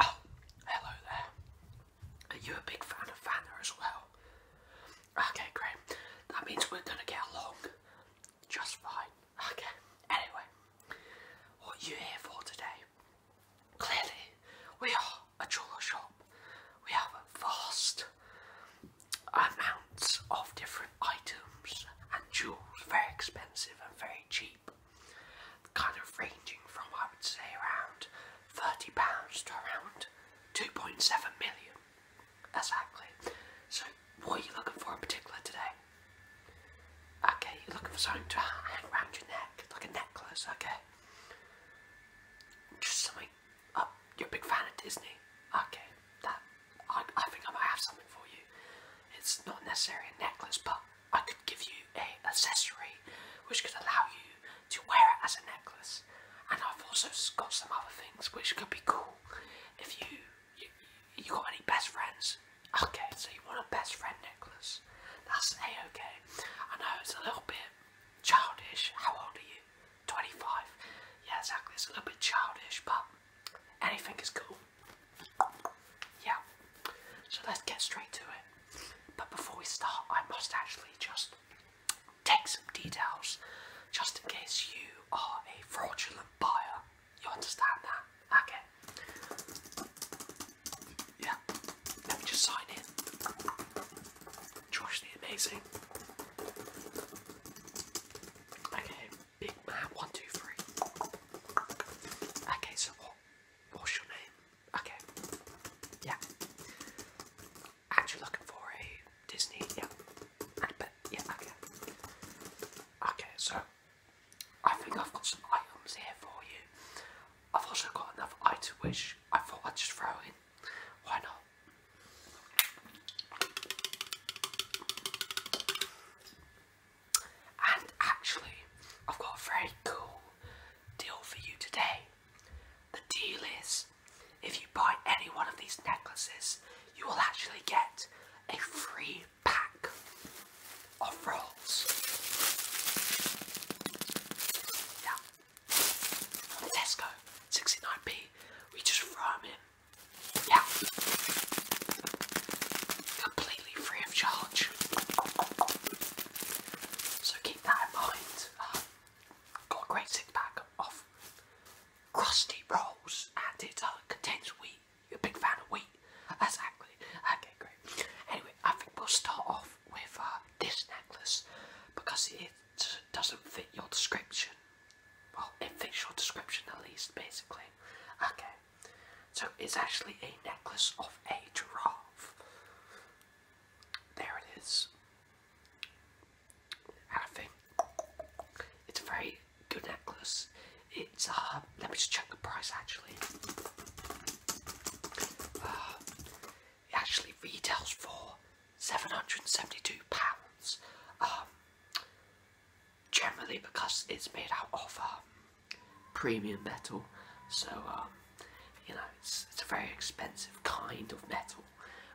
Oh, hello there. Are you a big fan of Vanna as well? Okay, great. That means we're gonna get along just fine. Okay, anyway, what are you here for today? Clearly, we are a jeweler shop. We have a vast amounts of different items and jewels, very expensive and very cheap, kind of ranging from I would say around thirty pounds to around two point seven million. Exactly. So what are you looking for in particular today? Okay, you're looking for something to hang around your neck, like a necklace, okay? Just something Oh, you're a big fan of Disney? Okay, that I, think I might have something for you. It's not necessarily a necklace, but I could give you a accessory which could allow you to wear it as a necklace. And I've also got some other things which could be cool. If you, you got any best friends? Okay, so you want a best friend necklace? That's a okay. I know it's a little bit childish. How old are you? 25. Yeah, exactly. It's a little bit childish, but anything is cool. Yeah. So let's get straight to it. But before we start, I must actually just take some details just in case you are a fraudulent buyer. You understand that? Okay. Yeah. Let me just sign in. Josh the Amazing. Okay, big man, one, two, three. Okay, so what? What's your name? Okay. Yeah. Actually looking for a Disney, yeah. And a bit, yeah, okay. Okay, so I think I've got some items here for you. I've also got another item which I thought I'd just throw in why not? And actually, I've got a very cool deal for you today. The deal is if you buy any one of these necklaces, you will actually get a free pack of rolls. Tesco, 69p. We just throw them in. Yeah. Completely free of charge. So keep that in mind. Uh, got a great six pack of crusty rolls and it uh, contains wheat. You're a big fan of wheat. That's okay, great. Anyway, I think we'll start off with uh, this necklace because it doesn't fit your description. Well, it fits your description at least, basically. Okay, so it's actually a necklace of a giraffe. There it is. And it's a very good necklace. It's, uh, let me just check the price actually. Ah, it actually retails for £772. Um, generally because it's made out of a um, premium metal. So, um, you know, it's, a very expensive kind of metal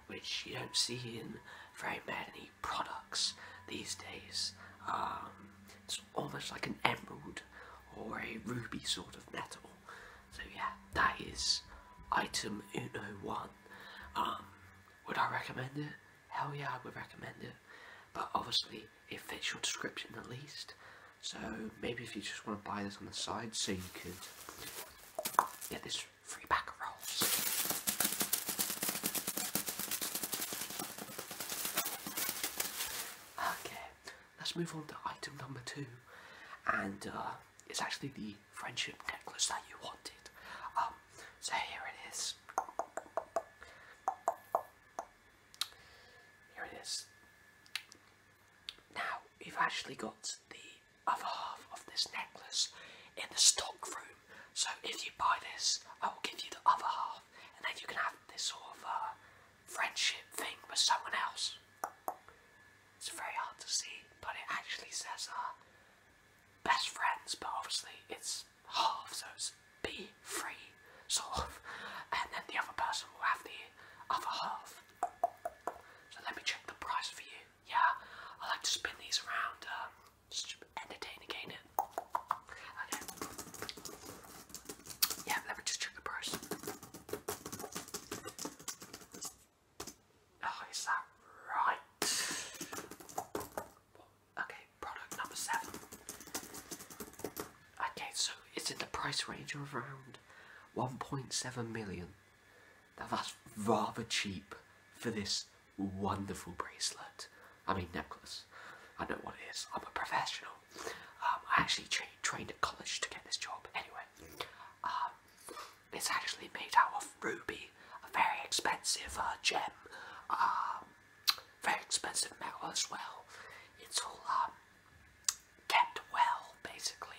which you don't see in very many products these days. It's almost like an emerald or a ruby sort of metal. So yeah, that is item 101. Um, would I recommend it? Hell yeah, I would recommend it. But obviously, it fits your description at least. So maybe if you just want to buy this on the side, so you could get this free pack of rolls. Okay, let's move on to item number two, and uh, it's actually the friendship necklace that you wanted. Um, so here it is. Here it is. Now we've actually got the other half of this necklace in the stock room. So if you buy this, I will give you the other half, and then you can have this sort of uh, friendship thing with someone else. It's very hard to see, but it actually says uh, best friends, but obviously it's half, so it's be free, sort of, and then the other person will have the other half. So let me check the price for you. Yeah, I like to spin these around, um, just entertain again Okay. Yeah, let me just check the price. Oh, is that right? Okay, product number seven. Okay, so it's in the price range of around 1.7 million. Now that's rather cheap for this wonderful bracelet. I mean necklace. I know what it is. I'm a professional. Um, I actually trained at college to get this job. Anyway, um, it's actually made out of ruby, a very expensive uh, gem, um, very expensive metal as well. It's all kept well, basically.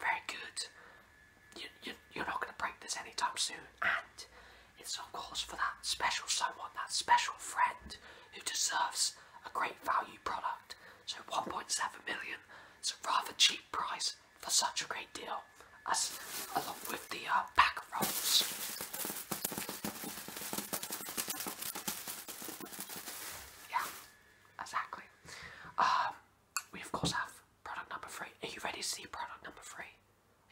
very good. you're not going to break this anytime soon, and it's of course for that special someone, that special friend who deserves a great value product. So 1.7 million is a rather cheap price for such a great deal, as along with the uh, pack rolls. Yeah, exactly. Um, we of course have product number three. Are you ready to see product number three?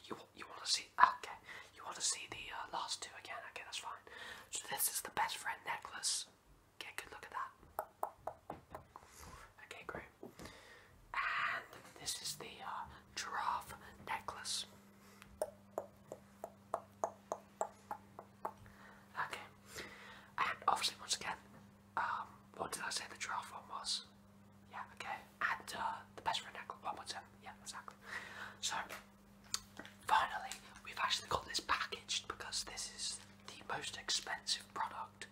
You you want to see? Okay, you want to see the uh, last two again? Okay, that's fine. So this is the best friend necklace. okay good look at that. Okay, great. And this is the uh, giraffe necklace. Okay, and obviously once again, um, what did I say the giraffe was? Yeah, okay. And uh, the best friend angle, 1.7. Yeah, exactly. So, finally, we've actually got this packaged because this is the most expensive product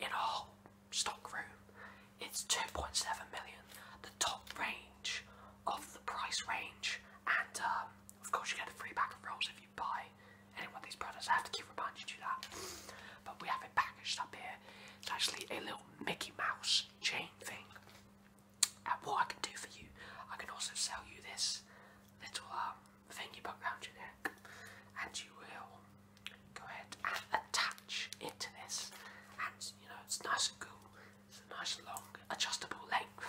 in our whole stock room. It's 2.7 million, the top range of the price range. And um, of course, you get a free pack of rolls if you buy any one of these products. I have to keep reminding you that. But we have it packaged up here it's actually a little Mickey Mouse chain thing. And what I can do for you, I can also sell you this little um, uh, thingy bug round your neck, and you will go ahead and attach it to this. And you know, it's nice and cool, it's a nice long, adjustable length.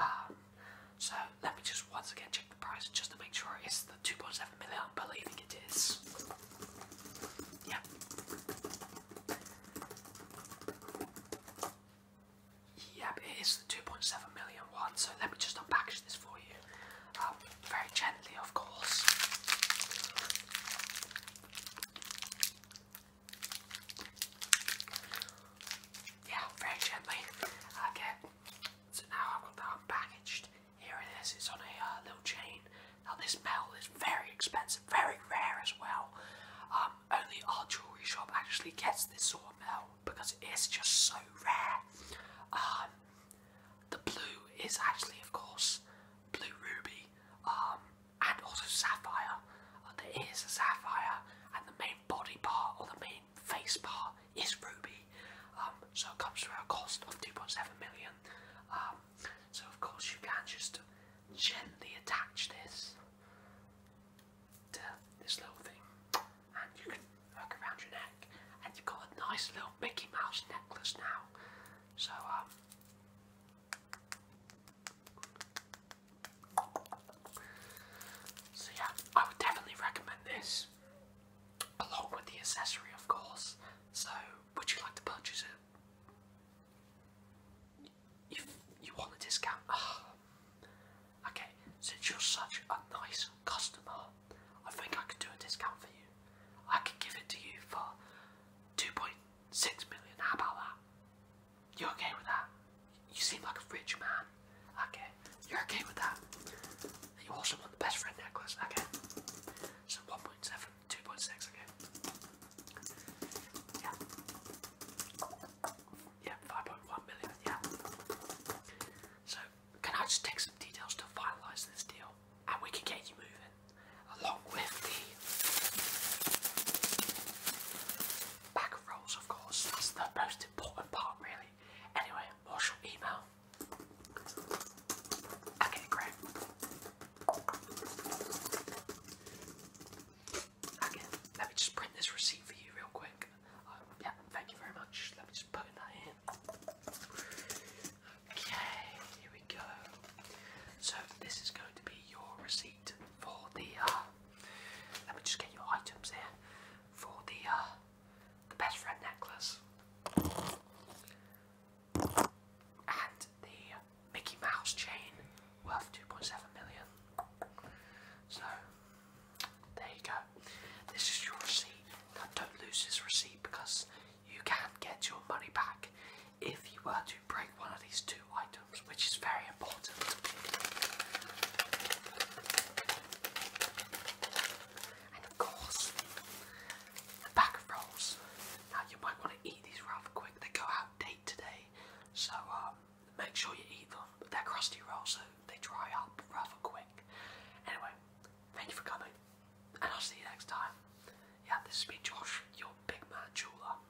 Um, so, let me just once again check the price just to make sure it's the 2.7 definitely believing it is. Yeah. Yep, it is the 2.7 million one, so let me just unpackage this for you. Um, very gently, of course. Yeah, very gently. Okay, so now I've got that unpackaged. Here it is. It's on a uh, little chain. Now this bell is very expensive, very rare as well. Um, only our jewelry shop actually gets this sort of bell because it is just so rare. Um, the blue is actually, of course, blue ruby um, and also sapphire. Uh, there is a sapphire, and the main body part or the main face bar is ruby, um, so it comes to a cost of 2.7 million. Um, so of course you can just gently attach this this little thing, and you can work around your neck, and you've got a nice little Mickey Mouse necklace now. So um, So yeah, I would definitely recommend this along with the accessory, of course. So, would you like to purchase it? You you want a discount? Ah. okay, since you're such a nice customer, I think I can do a discount for you. I can give it to you for two point six million. How about that? You okay with that? you seem like a rich man. Okay, you're okay with that. You also want the best friend necklace. Okay, so 1.7, 2.6. Okay, yeah, yeah, 5.1 million. Yeah. So can I just take some details to finalize this deal, and we can get you moving, along with the bag rolls, of course. That's the most important part, really anyway. Anyway, your email? Okay, great. Okay, let me just print this receipt for you real quick. Um, yeah, thank you very much. Let me just put that in. Okay, here we go. So this is going to be your receipt for the. Uh, let me just get your items here for the uh, the best friend necklace and the Mickey Mouse chain worth 2.7 million. So there you go. This is your receipt. Now don't lose this receipt because you can get your money back if you were to break one of these two items which is very important. And of course, the bag of rolls. Now, you might want to eat these rather quick, they go out date today, so um, make sure you eat them. But they're crusty rolls, so they dry up rather quick. Anyway, thank you for coming, and I'll see you next time. Yeah, this has been Josh, your big man jeweler.